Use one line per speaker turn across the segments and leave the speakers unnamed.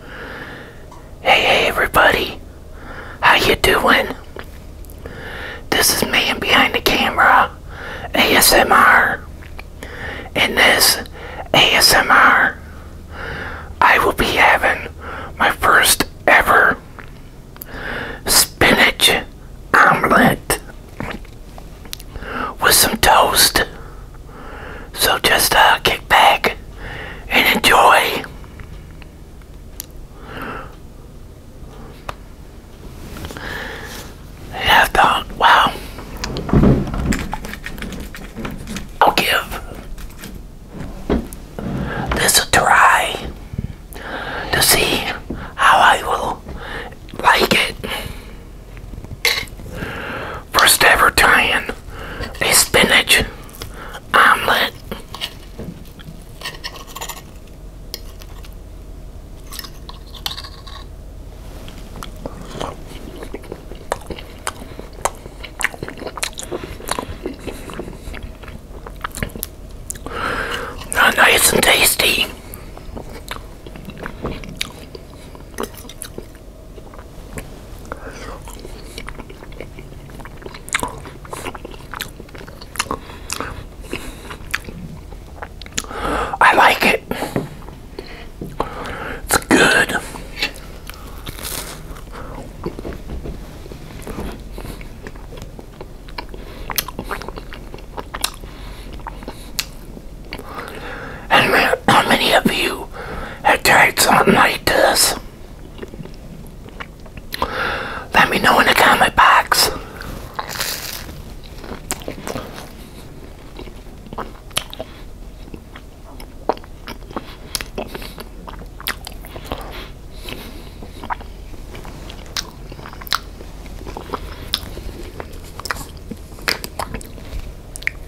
Hey, hey, everybody. How you doing? This is me Behind the Camera, ASMR. In this ASMR, I will be having my first ever spinach omelet with some toast. So just uh, kick back and enjoy. And I wow, I'll give this a try to see how I will like it. First ever tie a spinach omelet. nice and tasty. I like it. It's good. And how many of you have tried something like this? Let me know in the comment box.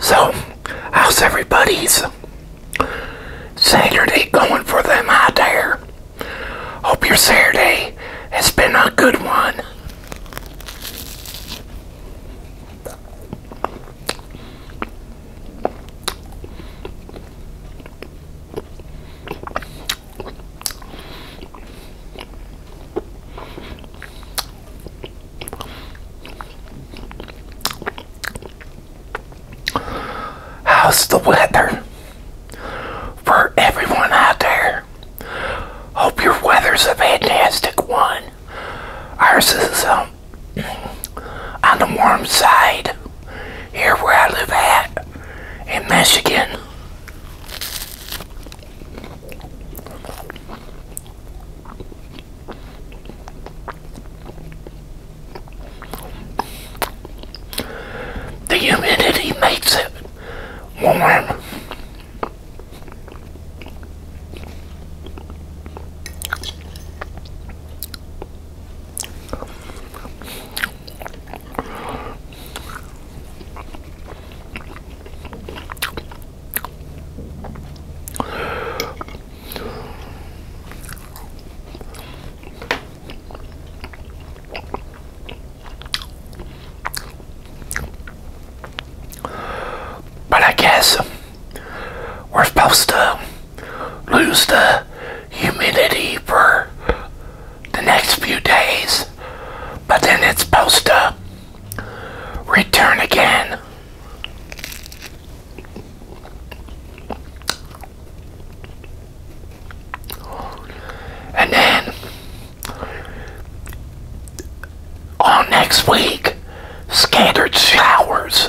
So, how's everybody's Saturday going for them I dare. Hope your Saturday has been a good one. How's the weather for everyone out there? Hope your weather's a fantastic one. Ours is um, on the warm side here where I live at in Michigan. The humidity makes it warm. But I guess we're supposed to lose the humidity for the next few days, but then it's supposed to return again. And then all next week, scattered showers.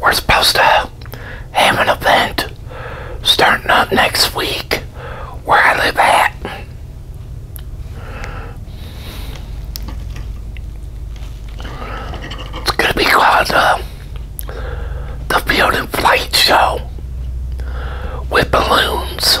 We're supposed to have an event starting up next week where I live at. It's going to be called uh, the Field and Flight Show with balloons.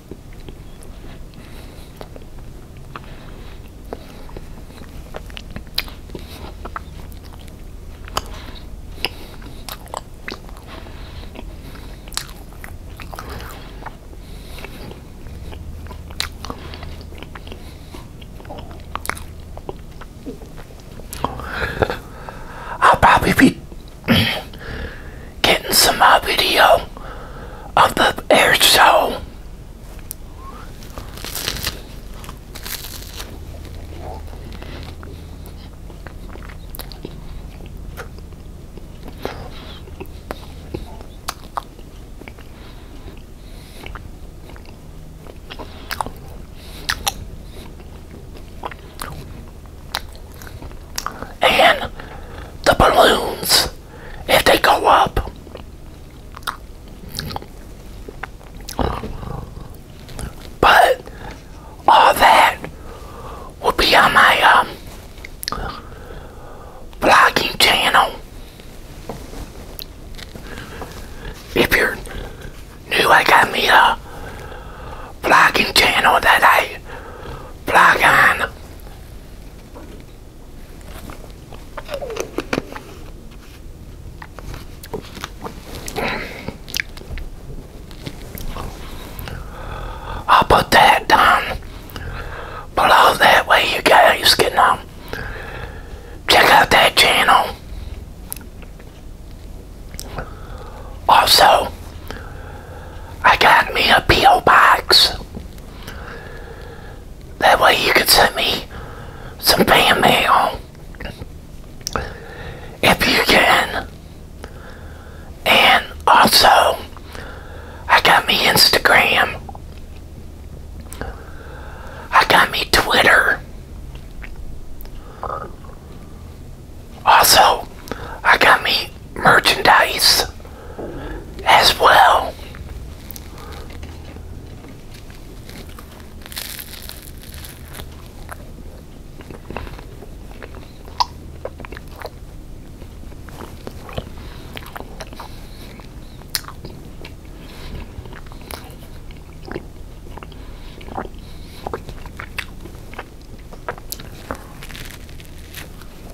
I'll probably be getting some uh, video of the air show and the balloons if they go up. But all that will be on my um, blogging channel. If you're new, I got me a blogging channel that I blog on. I'll put that down below that way you guys can um, check out that channel. Also, I got me a P.O. box. That way you can send me some fan mail. If you can. And also, I got me Instagram. I got me Twitter. Also, I got me merchandise as well.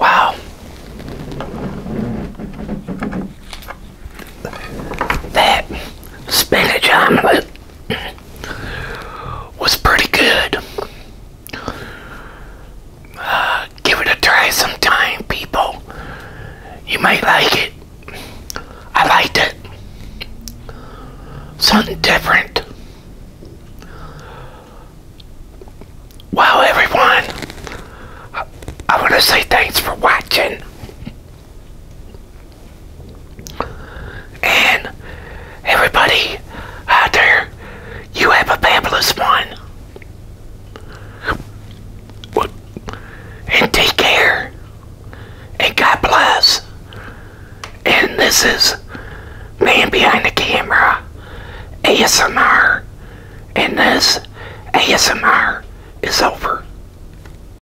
Wow. That spinach omelet was pretty good. Uh, give it a try sometime, people. You might like it. I liked it. Something different. Wow, everyone. I want to say thanks for watching. And everybody out there, you have a fabulous one. And take care. And God bless. And this is Man Behind the Camera ASMR. And this ASMR is over.